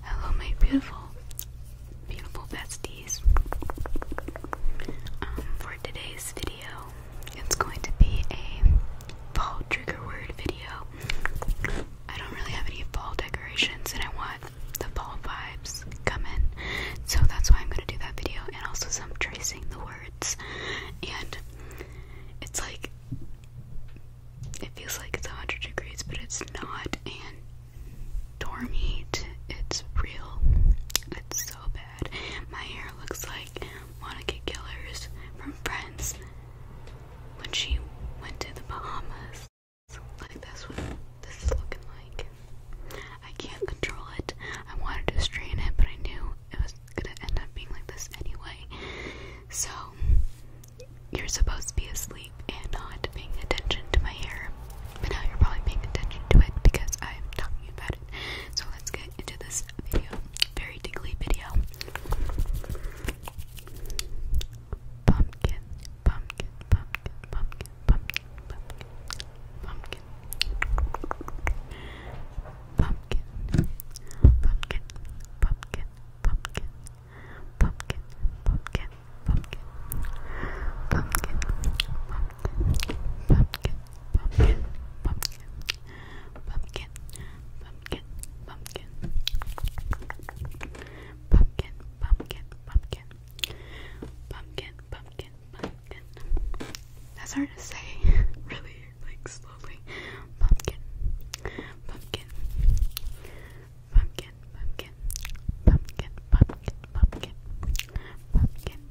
Hello, my beautiful, beautiful besties. Um, for today's video, it's going to be a fall trigger word video. I don't really have any fall decorations, and I want the fall vibes coming, so that's why I'm going to do that video, and also some tracing the words. And it's like it feels like it's 100 degrees, but it's not, and dorm heat, it's real. It's so bad. My hair looks like Monica Gillers from Friends when she went to the Bahamas. Like, that's what this is looking like. I can't control it. I wanted to straighten it, but I knew it was gonna end up being like this anyway. So, you're supposed to be asleep and not paying attention to my hair, but now you're probably paying attention to it because I'm talking about it. So let's get into this Very tickly video. Pumpkin, pumpkin, pumpkin, pumpkin, pumpkin, pumpkin, pumpkin, pumpkin, pumpkin, pumpkin, pumpkin, pumpkin, pumpkin, pumpkin, pumpkin, pumpkin, pumpkin, pumpkin, pumpkin, pumpkin, pumpkin, pumpkin, pumpkin, pumpkin, pumpkin, pumpkin, pumpkin, pumpkin, That's hard to say, really, slowly. pumpkin, pumpkin, pumpkin, pumpkin, pumpkin, pumpkin, pumpkin, pumpkin, pumpkin.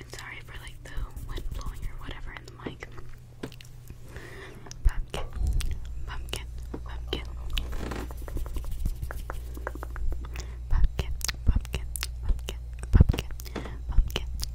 And sorry for like the wind blowing or whatever in the mic. Pumpkin, pumpkin, pumpkin. Pumpkin, pumpkin, pumpkin, pumpkin, pumpkin,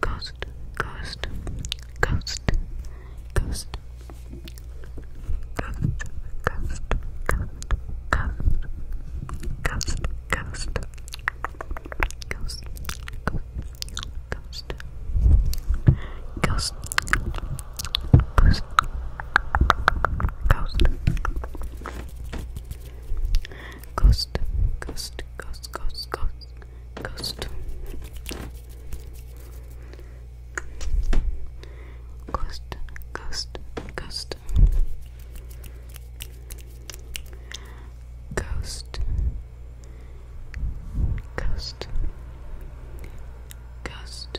Ghost, ghost, ghost, ghost, ghost, ghost, ghost, ghost, ghost, ghost, ghost, ghost, ghost. Ghost, ghost, ghost, ghost, ghost, ghost. Ghost, ghost, ghost. Ghost. Ghost. Ghost. Ghost.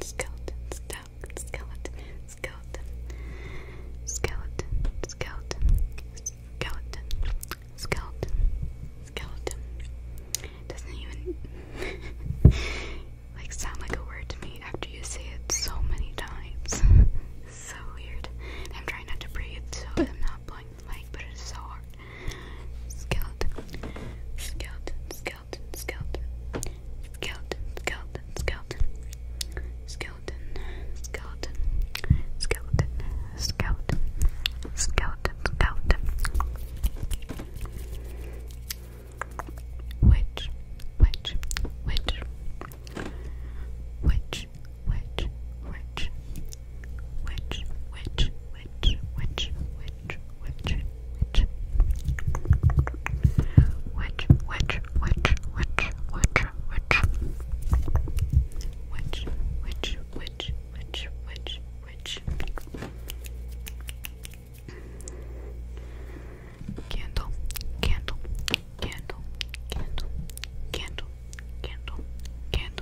skeleton, skeleton, skeleton, skeleton, skeleton, skeleton, skeleton, skeleton, skeleton, skeleton. It doesn't even like sound like a word to me after you say it so many times. so weird. I'm trying not to breathe, so I'm not blowing the mic, but it's so hard skeleton, skeleton, skeleton, skeleton, skeleton, skeleton, skeleton, skeleton, skeleton, skeleton, skeleton, Which, which, which, which, which, which, which, which, which, which, which, which, which, which, which, which, which, which, which, which, which, which, which, which, which, which. Candle, candle, candle, candle, candle, candle, candle,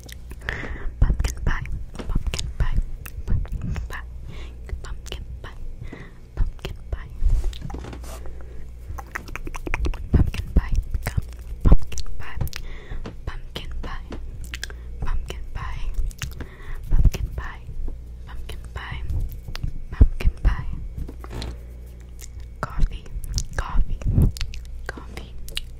Pumpkin pie, pumpkin pie, pumpkin pie, pumpkin pie, pumpkin pie. Pumpkin pie, become pumpkin pie, pumpkin pie, pumpkin pie, pumpkin pie, pumpkin pie, pumpkin pie. Coffee, coffee, coffee,